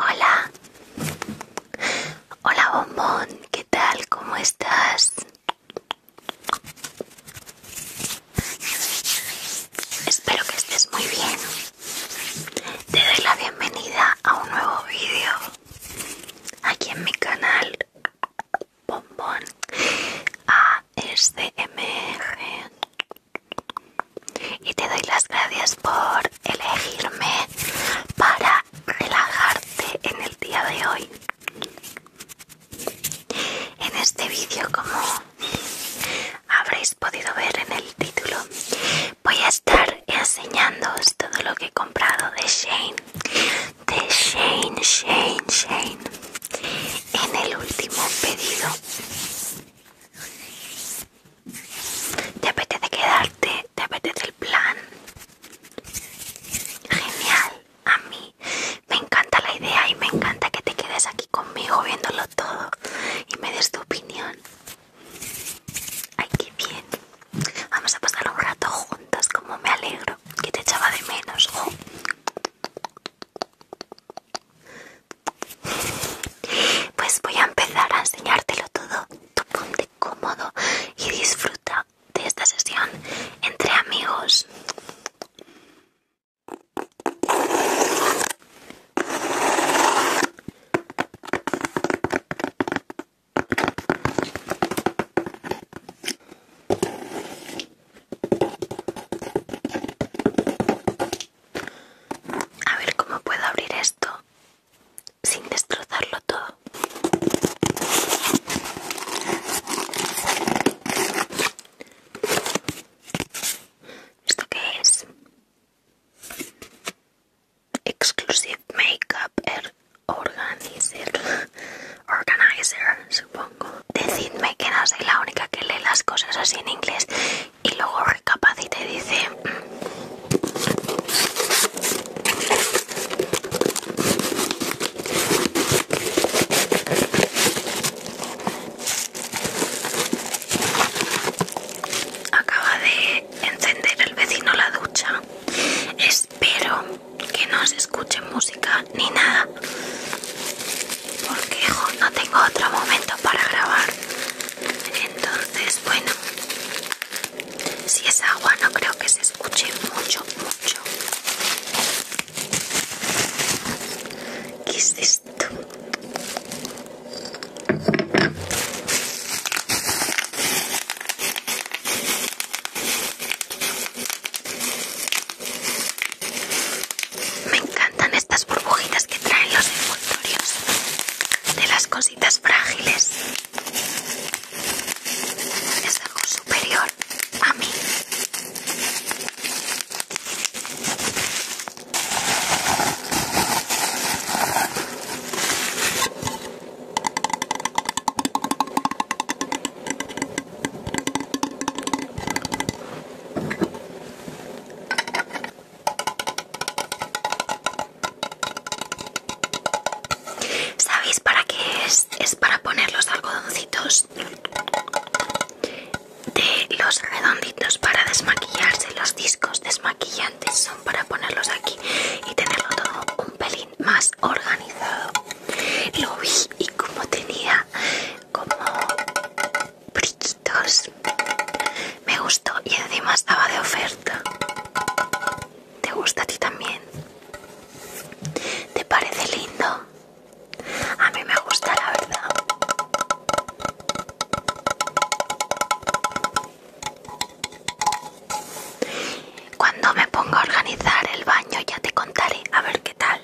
Hola, hola bombón, ¿qué tal? ¿Cómo estás? Espero que estés muy bien. Te doy la bienvenida a un nuevo vídeo aquí en mi canal bombón ASMR y te doy las gracias por elegirme para relajarte en el día de hoy en este vídeo como habréis podido ver en el título voy a estar enseñándoos todo lo que he comprado de Shane de Shane, Shane, Shane. En el último pedido. ¿Te apetece quedarte? ¿Te apetece el plan? Genial. A mí me encanta la idea y me encanta que te quedes aquí conmigo viéndolo todo y me des tu opinión. Ay, qué bien. Vamos a pasar un rato juntos, como me alegro que te echaba de menos. Pues voy a empezar a enseñártelo todo. Tú ponte cómodo y disfruta de esta sesión entre amigos. A ver cómo puedo abrir esto sin destrozarlo todo. ¿Esto qué es? Exclusive Makeup Air organizer, organizer, supongo. Decidme que no soy la única que lee las cosas así en inglés y luego recapacita y dice. Acaba de encender el vecino la ducha. Espero que no se escuche música ni nada porque no tengo otro momento para grabar entonces bueno si es agua no creo que se escuche mucho mucho ¿qué es esto? Me encantan estas burbujitas que traen los envoltorios de las cositas frágiles. Es algo superior a mí. ¿Sabéis para qué es? Es para poner los algodoncitos de los redonditos para desmaquillarse. Los discos desmaquillantes son para ponerlos aquí y tenerlo todo un pelín más organizado lo vi y como tenía como brillitos me gustó y encima estaba de oferta te gusta a ti también te parece lindo a mí me gusta la verdad cuando me ponga a organizar el baño ya te contaré a ver qué tal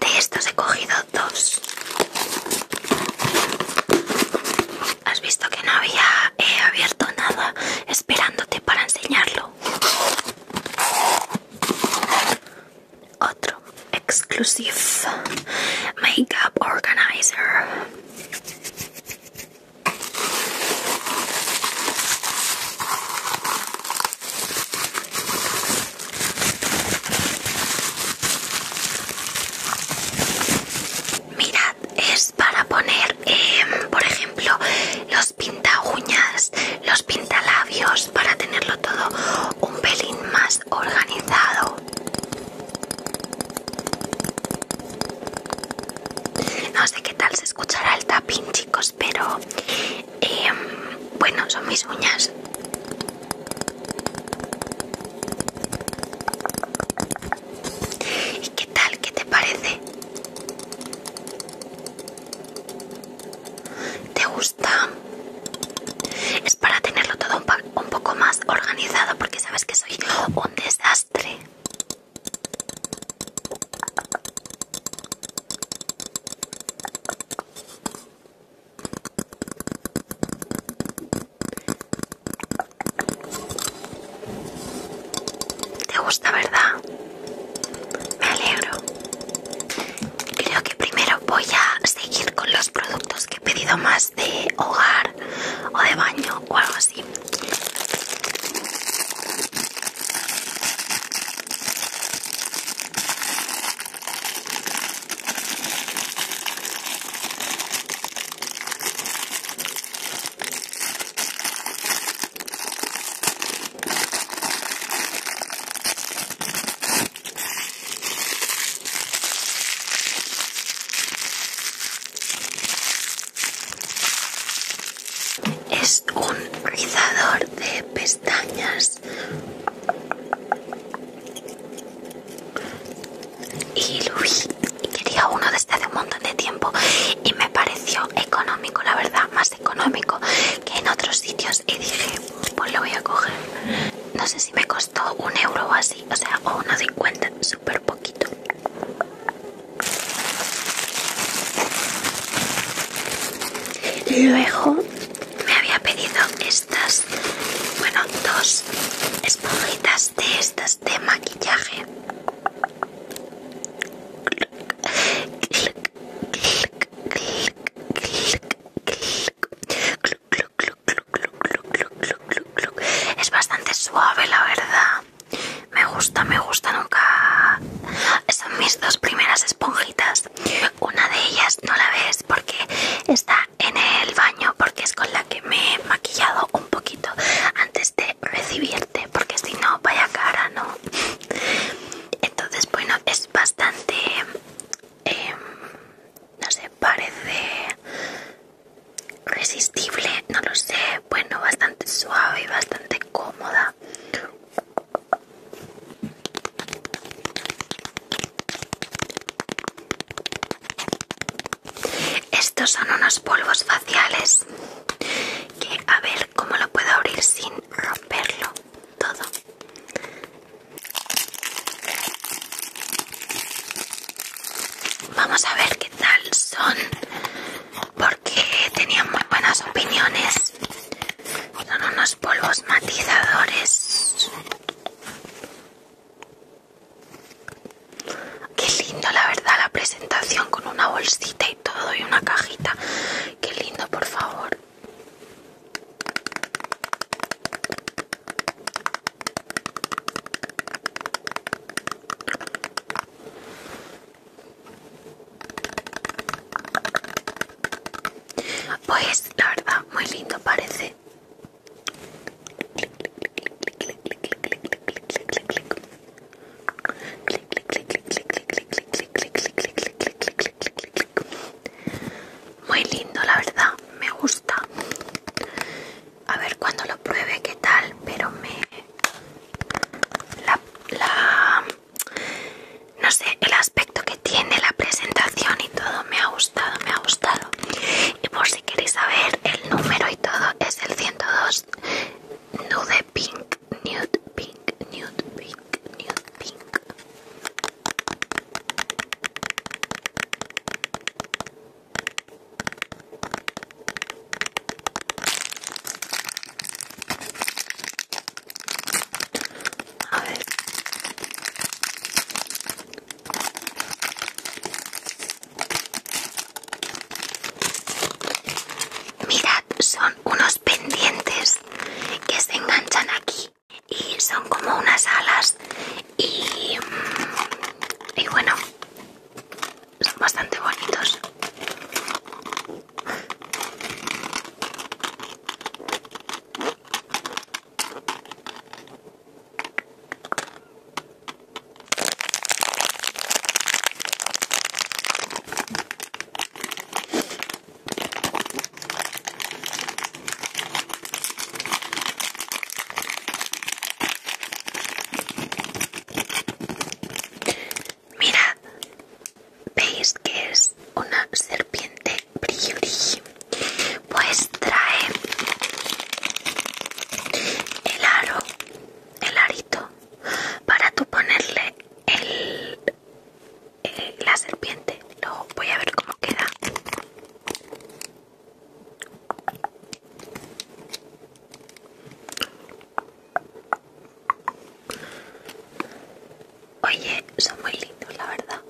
De estos he cogido dos. Has visto que no había he abierto nada esperándote para enseñarlo. Otro exclusive makeup organizer. Mirad, es para poner, em, por ejemplo, los pinta uñas, los pintalabios, para tenerlo todo un pelín más organizado. No sé qué tal se escuchará el tapping, chicos, pero em, bueno, son mis uñas. ¿Y qué tal? ¿Qué te parece? ¿Te gusta? Es para tenerlo todo un un poco más organizado porque sabes que soy un desastre. ¿Te gusta, verdad? Me alegro. Creo que primero voy a seguir con los productos que he pedido más de hogar o de baño o algo así. Es un rizador de pestañas y lo vi y quería uno desde este hace un montón de tiempo y me pareció económico, la verdad, más económico que en otros sitios y dije, pues lo voy a coger. No sé si me costó un euro o así, o sea, o 50 Super súper poquito luego me había pedido estas bueno dos esponjitas de estas de maquillaje es bastante suave, la verdad. Me gusta, me gusta, nunca... Son mis dos primeras esponjitas. Una de ellas no la ves porque está en el baño, porque es con la que me he maquillado un poquito antes de recibirte, porque si no, vaya cara, ¿no? Entonces, bueno, es bastante... Em, no sé, parece resistible, no lo sé, bueno, bastante suave y bastante cómoda. Estos son unos polvos faciales que a ver cómo lo puedo abrir sin romperlo todo. Vamos a ver qué tal son, porque tenían muy buenas opiniones. Son unos polvos matizadores. Qué lindo, la verdad, la presentación con una bolsita y todo y una cajita. Qué lindo, por favor. Pues la verdad, muy lindo parece. Muy lindo, la verdad, me gusta a ver cuando lo pruebe qué tal pero me la, la no sé el aspecto que tiene la presentación y todo me ha gustado me ha gustado y por si queréis saber el número y todo es el 102 nude pink nude pink nude pink nude pink Mirad, son unos pendientes que se enganchan aquí y son como unas alas y, mm, y bueno, son bastante bonitos. Mira, veis que es una serpiente priori. Pues trae el aro, el arito, para tú ponerle eh, la serpiente. Luego voy a ver cómo queda. Oye, son muy lindos, la verdad.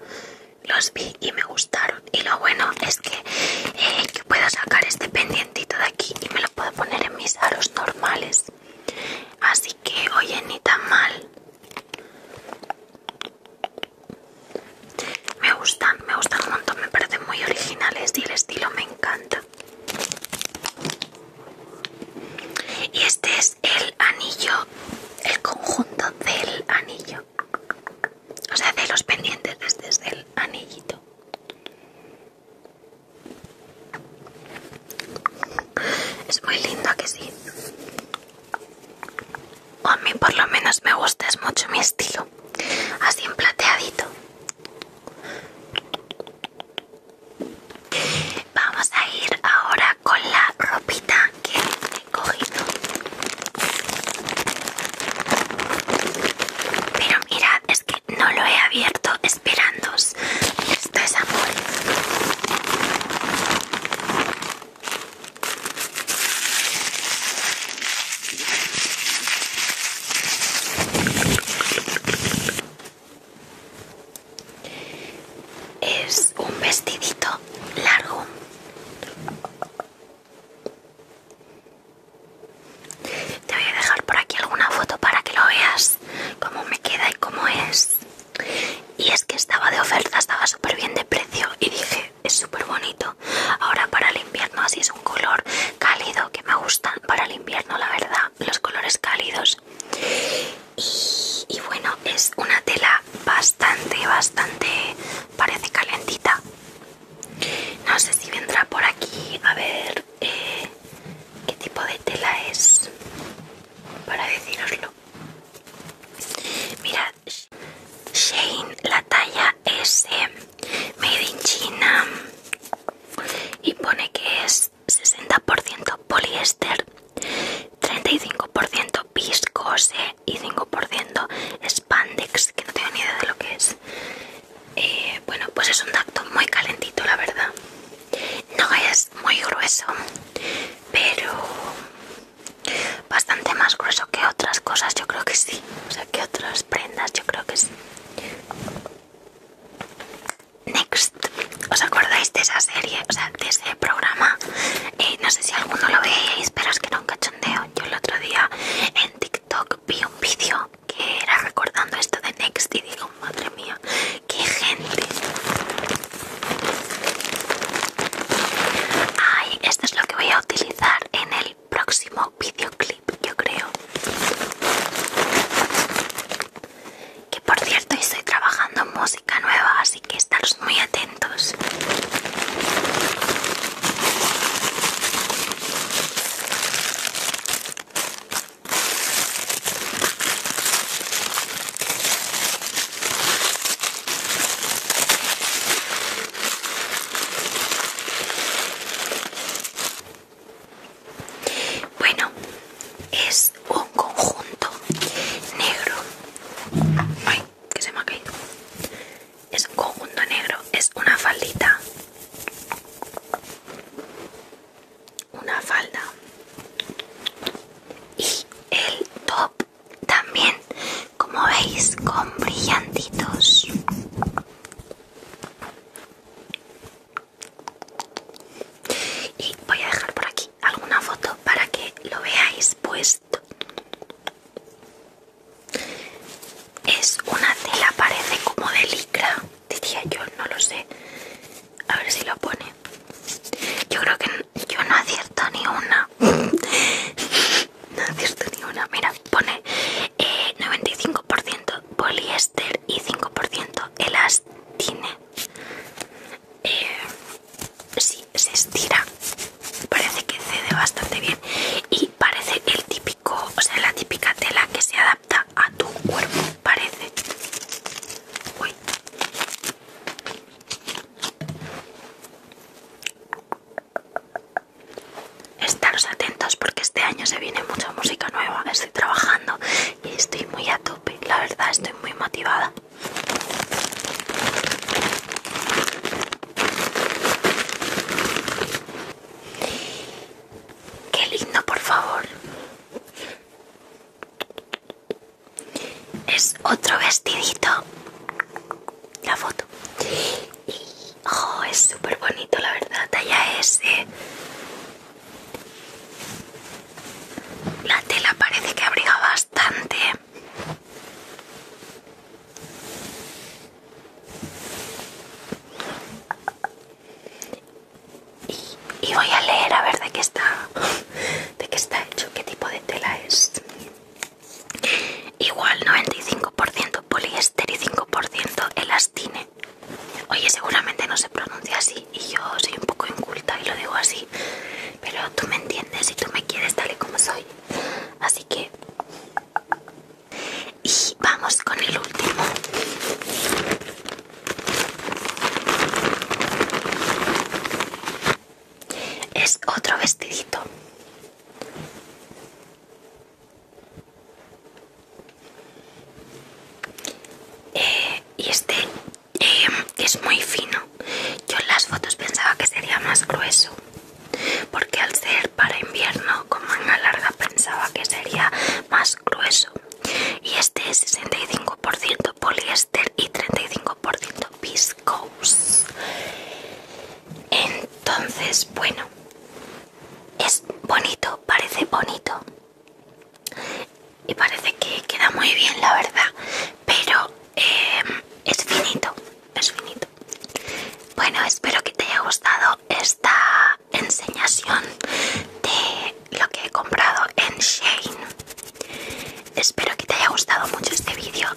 Los vi y me gustaron. Y lo bueno es que, eh, que puedo sacar este pendientito de aquí y me lo puedo poner en mis aros normales. Así que, oye, ni tan mal. Me gustan, me gustan un montón, me parecen muy originales y el estilo me encanta. Y este es el anillo, el conjunto del anillo. O sea, de los pendientes este es el anillito. Es muy lindo, ¿a que sí? O a mí por lo menos me gusta, es mucho mi estilo. Así en plateadito. Vamos a ir ahora con la ropita que he cogido. Pero mirad, es que no lo he abierto esperando Esto es amor. Es un vestidito largo. Te voy a dejar por aquí alguna foto para que lo veas cómo me queda y cómo es. Y es que estaba de oferta, estaba súper bien de precio y dije, es súper bonito. Ahora para el invierno así es un color cálido que me gusta para el invierno, la verdad, los colores cálidos. Y, bueno, es una tela bastante, bastante, parece calentita. No sé si vendrá por aquí, a ver eh, qué tipo de tela es para deciroslo. mira Shane, la talla S eh, Made in China y pone que es 60% poliéster 35% viscose y 5% spandex que no tengo ni idea de lo que es eh, bueno pues es un tacto muy calentito la verdad no es muy grueso pero bastante más grueso que otras cosas yo creo que sí o sea que otras prendas yo creo que sí Next, ¿os acordáis de esa serie? O sea, de ese programa. Eh, no sé si alguno lo veis, pero es que era un cachondeo. Yo el otro día en TikTok vi un vídeo que era recordando esto de Next y digo, madre mía, qué gente. Ay, esto es lo que voy a utilizar en el próximo videoclip, yo creo. Que por cierto, estoy trabajando en música nueva, así que estaros muy atentos. Bueno, es un conjunto negro. Ay, que se me ha caído. Es un conjunto negro, es una faldita. Una falda. Y el top también, como veis, con brillantitos. Y voy a dejar por aquí alguna foto para que lo veáis puesto. Es una tela, parece como de licra, diría yo, no lo sé. A ver si lo pone. Yo creo que yo no acierto ni una. no acierto ni una. Mira, pone 95% eh, poliéster y 5% elastine. si, eh, sí, se estira, parece que cede bastante bien y parece el típico, o sea, la típica tela que se adapta a tu cuerpo, parece. Uy. Estaros atentos porque este año se viene mucha música nueva. Estoy trabajando y estoy muy a tope. La verdad, estoy muy motivada. Qué lindo, por favor. Es otro vestidito. La foto. Oh, es súper bonito, la verdad, talla S. Eh, la tela parece que abriga bastante. Y, voy a leer a ver de qué está, de qué está hecho, qué tipo de tela es. Igual 95% poliéster y 5% elastine. Oye, seguramente no se pronuncia así y yo soy un poco inculta y lo digo así, pero tú me entiendes y tú me quieres tal y como soy. Así que... Y vamos con el último. Es otro vestidito. Eh, y este eh, es muy fino. Yo en las fotos pensaba que sería más grueso, porque al ser para invierno con manga larga pensaba que sería más grueso. Y este es 65% poliéster y 35% viscose. Entonces, bueno, es bonito, parece bonito y parece que queda muy bien la verdad, pero em, es finito, es finito. Bueno, espero que te haya gustado esta enseñación de lo que he comprado en Shane. Espero que te haya gustado mucho este vídeo,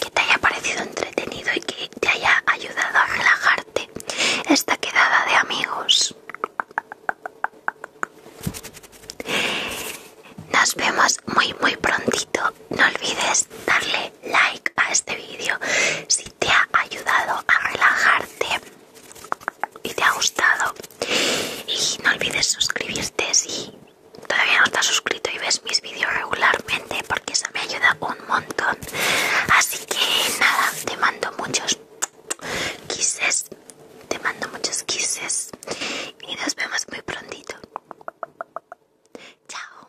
que te haya parecido entretenido y que te haya ayudado a relajar esta quedada de amigos. Nos vemos muy muy prontito. No olvides darle like a este vídeo si te ha ayudado a relajarte y te ha gustado. Y no olvides suscribirte si todavía no estás suscrito y ves mis vídeos regularmente que eso me ayuda un montón. Así que nada, te mando muchos kisses, te mando muchos kisses y nos vemos muy prontito. Chao.